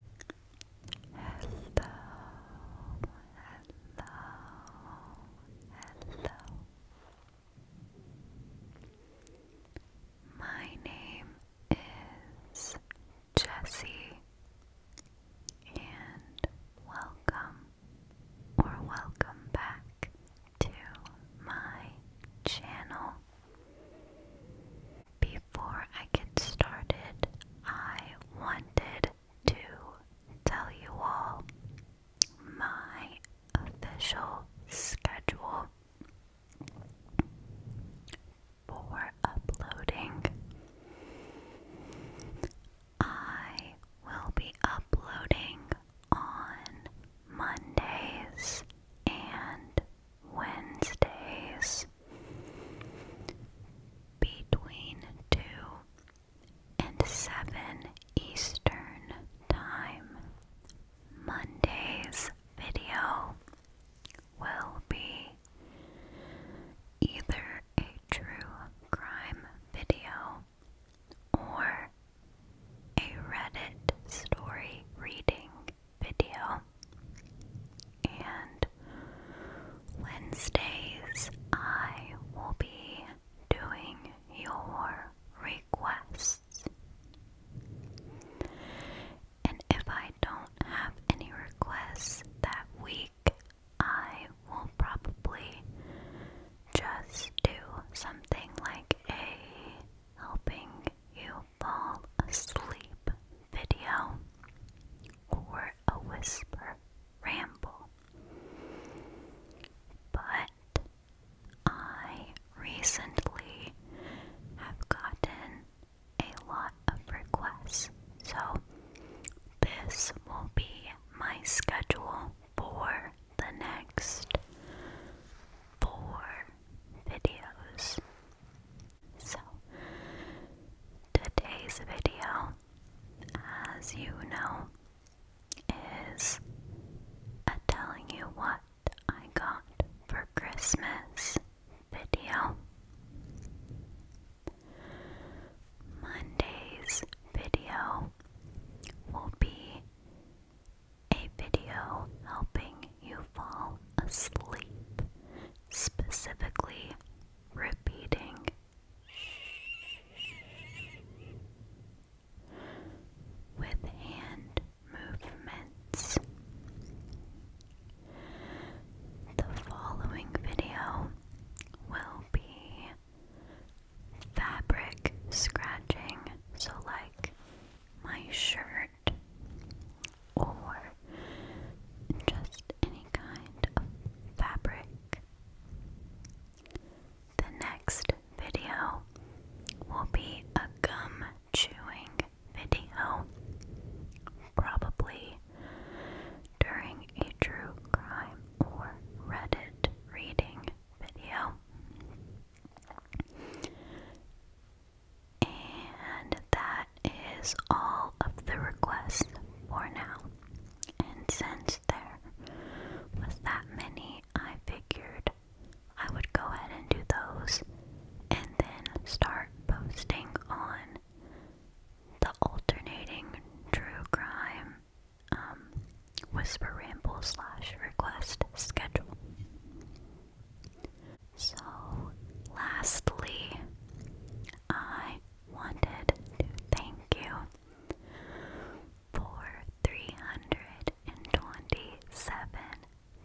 Hello, hello, hello. My name is Jessie, and welcome or welcome back to my channel. Before I get started, I wanted to tell you all my official schedule for uploading. I will be uploading on Mondays and Wednesdays between 2 and 7 Eastern Time. Monday's video will be either a true crime video or a Reddit story reading video. And Wednesdays, I will be doing your requests. And if I don't have any requests that week, I will probably just do something like a helping you fall asleep video or a whisper ramble. But I recently have gotten a lot of requests, so this will be my schedule for the next four videos. So, today's video, as you know, is a telling you what I got for Christmas video. Monday's video will be a video helping you fall asleep, specifically repeating. With hand movements. The following video will be fabric scratching, so, like my shirt or just any kind of fabric. The next video will be a gum chewing video, probably during a true crime or Reddit reading video. And that is all of the requests for now. And since there was that many, I figured I would go ahead and do those and then start posting on the alternating true crime um, whisper ramble slash request schedule. So, lastly, I wanted to thank you for 327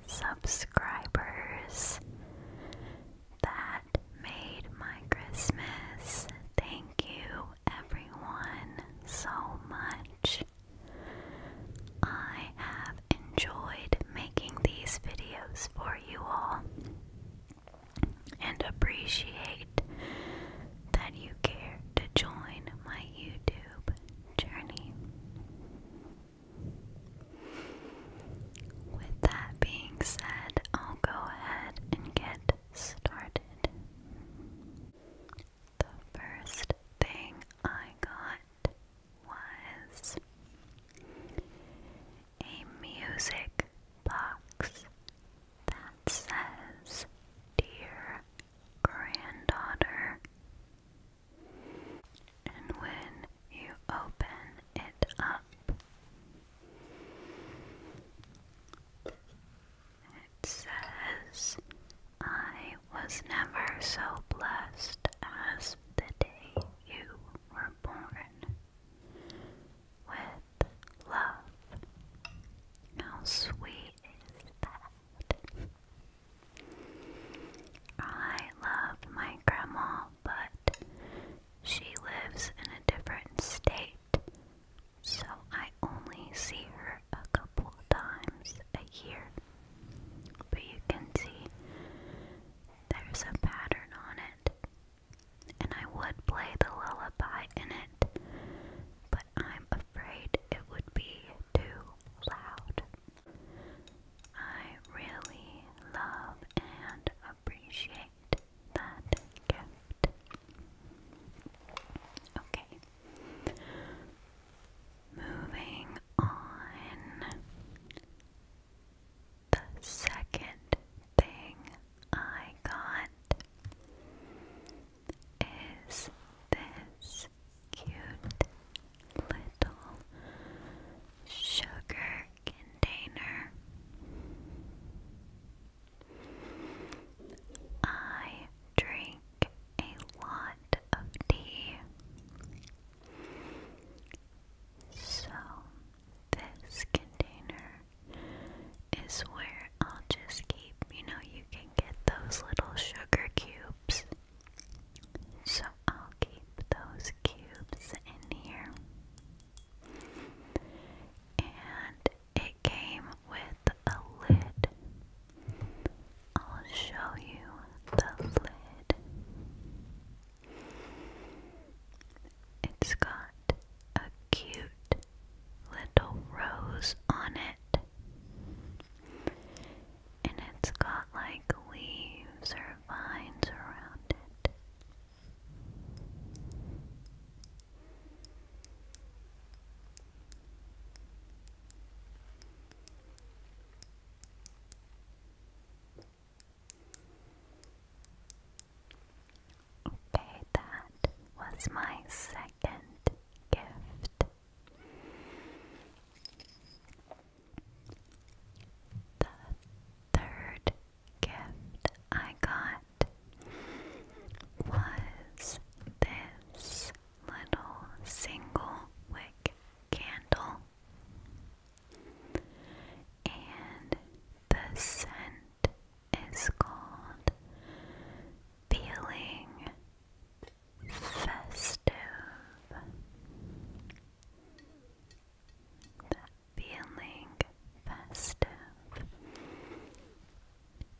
subscribers that made my Christmas. Thank you, everyone, so much. I have enjoyed making these videos for you all and appreciate that you care to join my YouTube journey. With that being said, I'll go ahead and get started. The first thing I got was a music box that says, Dear Granddaughter. And when you open it up, it says, I was never so blessed as the day you were born. With love. How sweet is that? I love my grandma, but she lives in a different state, so I only see her a times a year. But you can see there's a pattern on it. And I would play the lullaby in it, but I'm afraid it would be too loud. I really love and appreciate that gift. Okay, Moving on, the second thing I got is this cute little sugar container. I drink a lot of tea. So, this container is where I'll just keep, you know, you can get those little sugar cubes. So, I'll keep those cubes in here. And it came with a lid. I'll show you the lid. It's got a cute little rose on it. And it's got like leaves or vines around it. Okay, that was my second gift. The third gift I got was this little single wick candle, and the scent is called Feeling Festive. feeling festive.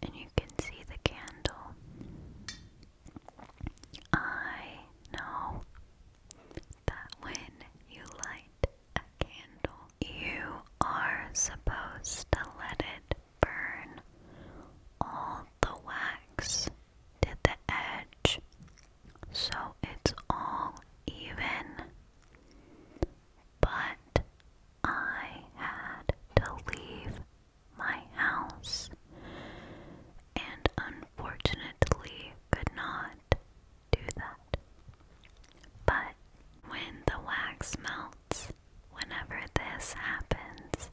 And you can see the candle I know that when you light a candle, you are supposed to let it burn all the wax to the edge so it's all even. But I had to leave my house and unfortunately could not do that. But when the wax melts, whenever this happens,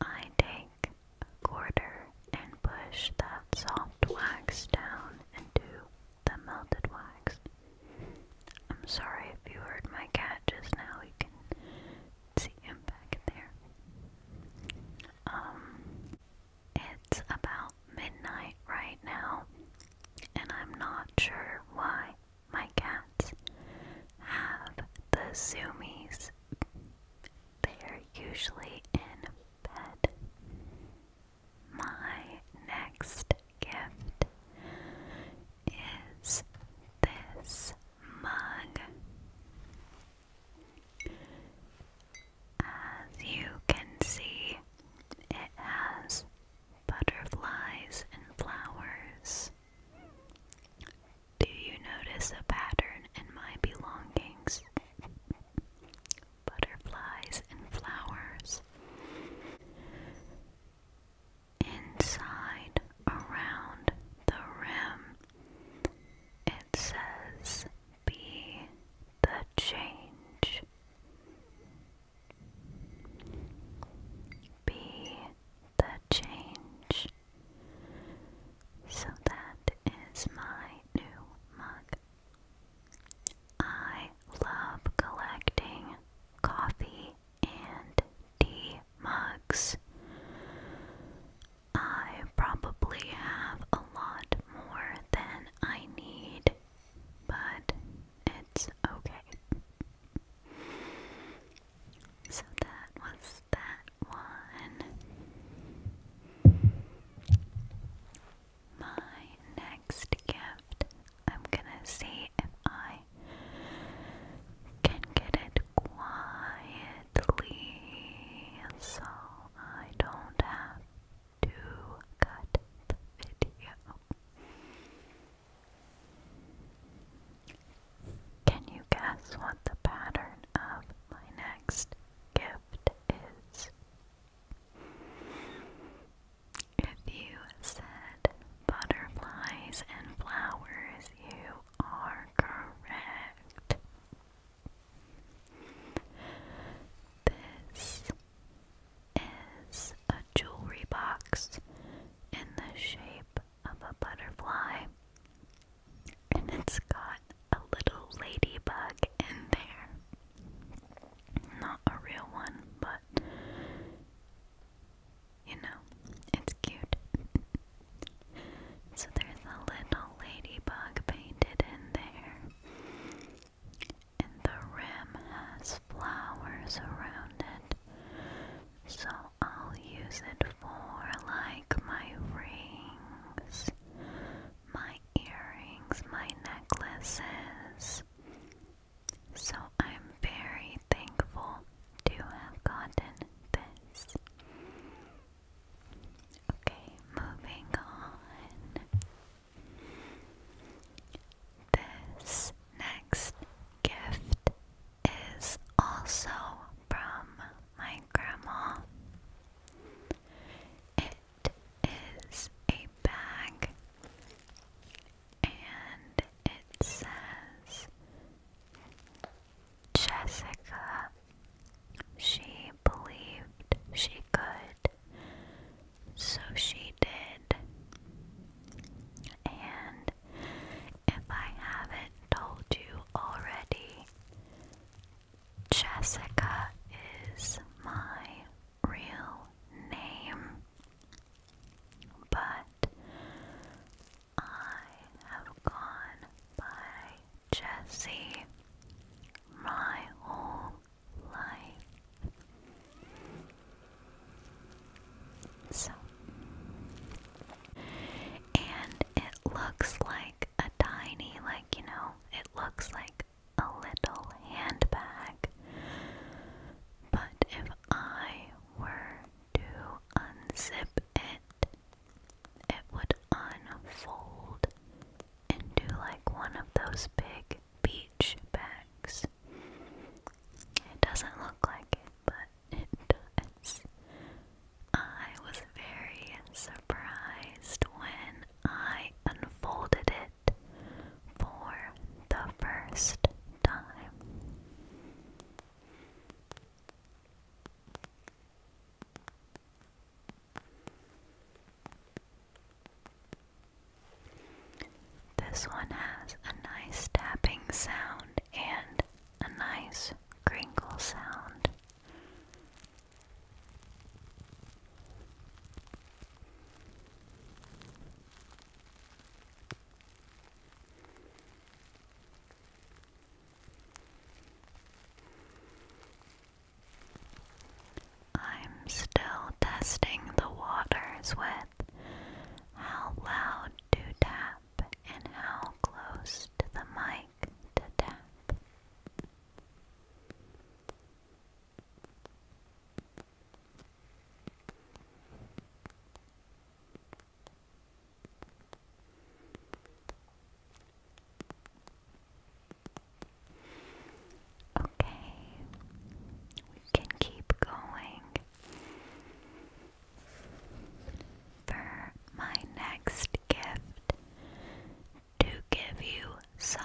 I take a quarter and push that soft wax down into the melted wax. I'm sorry if you heard my cat just now, you can see him back there. Um, it's about midnight right now, and I'm not sure why my cats have the zoomies. They're usually in bed. My next gift is this mug. As you can see, it has butterflies and flowers. Do you notice a pattern in my belongings? Butterflies and flowers inside around the rim. It says, Be the change. Be the change. So that is my new mug. I love collecting coffee and tea mugs. I probably have a lot more than I need, but it's okay. So that was that one. My next gift I'm gonna see if I can get it quietly so I don't have to cut the video. Can you guess what the pattern of my next gift is? If you said butterflies and flowers, you are correct. This is a jewelry box in the shape of a butterfly, and it's got a little ladybug in there. Not a real one, but you know, it's cute. so there's a little ladybug painted in there. And the rim has flowers around it. So I'll use it for like my rings, my earrings, my necklaces, so I'm very thankful to have gotten this. Okay, moving on. This next gift is also from my grandma. It is a bag and it says Jessica. She believed she could, so she did. And if I haven't told you already, Jessica is my real name, but I have gone by Jessie my whole life. So, and it looks like a tiny, like, you know, it looks like a little handbag. But if I were to unzip it, it would unfold into like one of those big beach bags. It doesn't look like it, but it does. I was very surprised when I unfolded it for the first time. This one has a nice tapping sound and a nice crinkle sound. I'm still testing the waters with how loud to tap and how close to the mic to tap. Okay, we can keep going. For my next gift, to give you some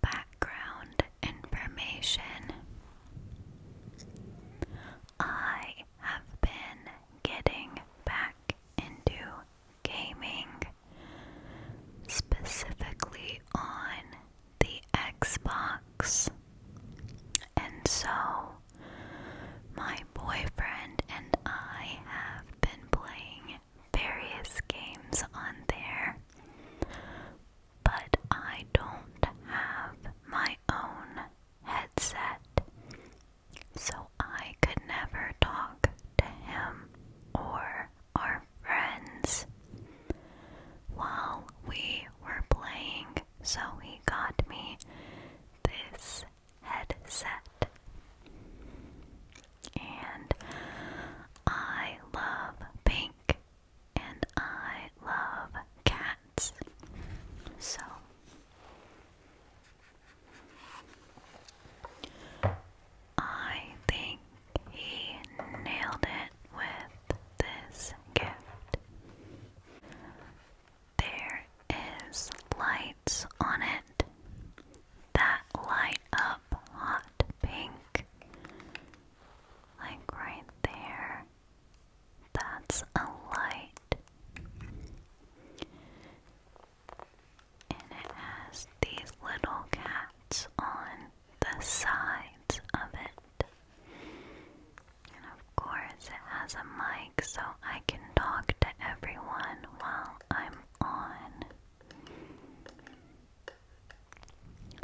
background information. I have been getting back into gaming, specifically on the Xbox, and so my boyfriend and I have been playing various games on there but I don't have my own headset, so I could never talk to him or our friends. While we were playing, so he got me this headset. And I love pink and I love cats. So I think he nailed it with this gift. There is lights on it that light up hot pink like right there. That's a light. And it has these little cats on the sides of it. And of course, it has a mic so I can talk to everyone while I'm on.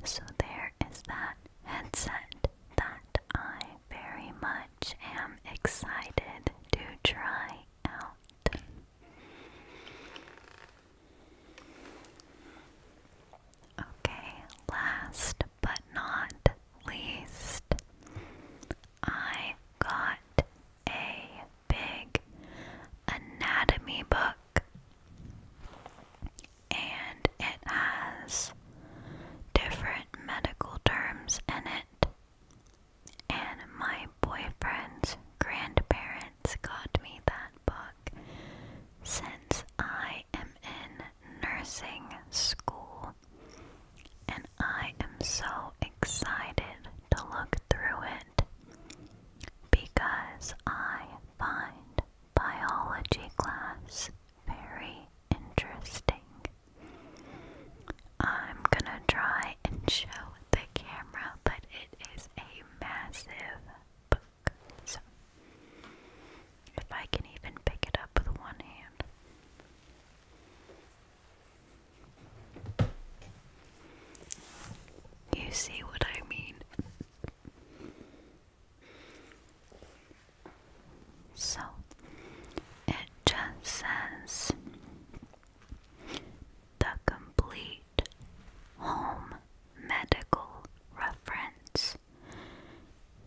So there is that headset that I very much am excited to try out. Okay, last but not least, I got a big anatomy book and it has different medical terms in it. And my boyfriend's grandparents got me that book since I am in nursing school. And I am so excited to look through it because I find biology class very interesting. I'm gonna try and show the camera, but it is a massive book. So, if I can even pick it up with one hand. You see what I mean? So it just says the complete home medical reference,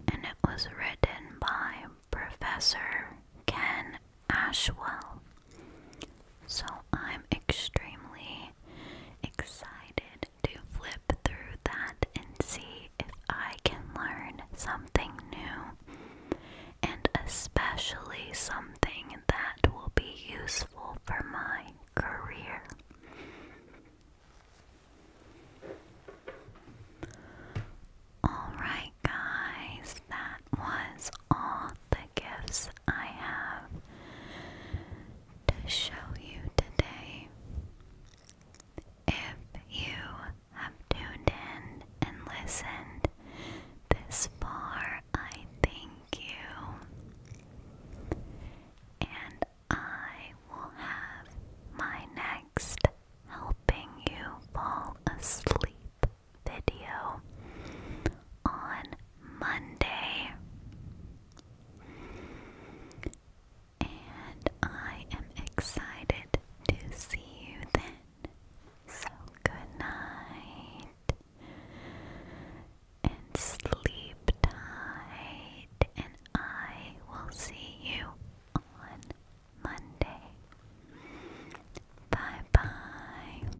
and it was written by Professor Ken Ashwell so I'm extremely excited to flip through that and see if I can learn something new and especially something that will be useful for my career. Alright, guys, that was all the gifts I have to show you today. If you have tuned in and listened this far, I thank you. And I will have my next helping you fall asleep video on Monday. And I am excited to see you then. So good night. And sleep tight. And I will see you on Monday. Bye bye.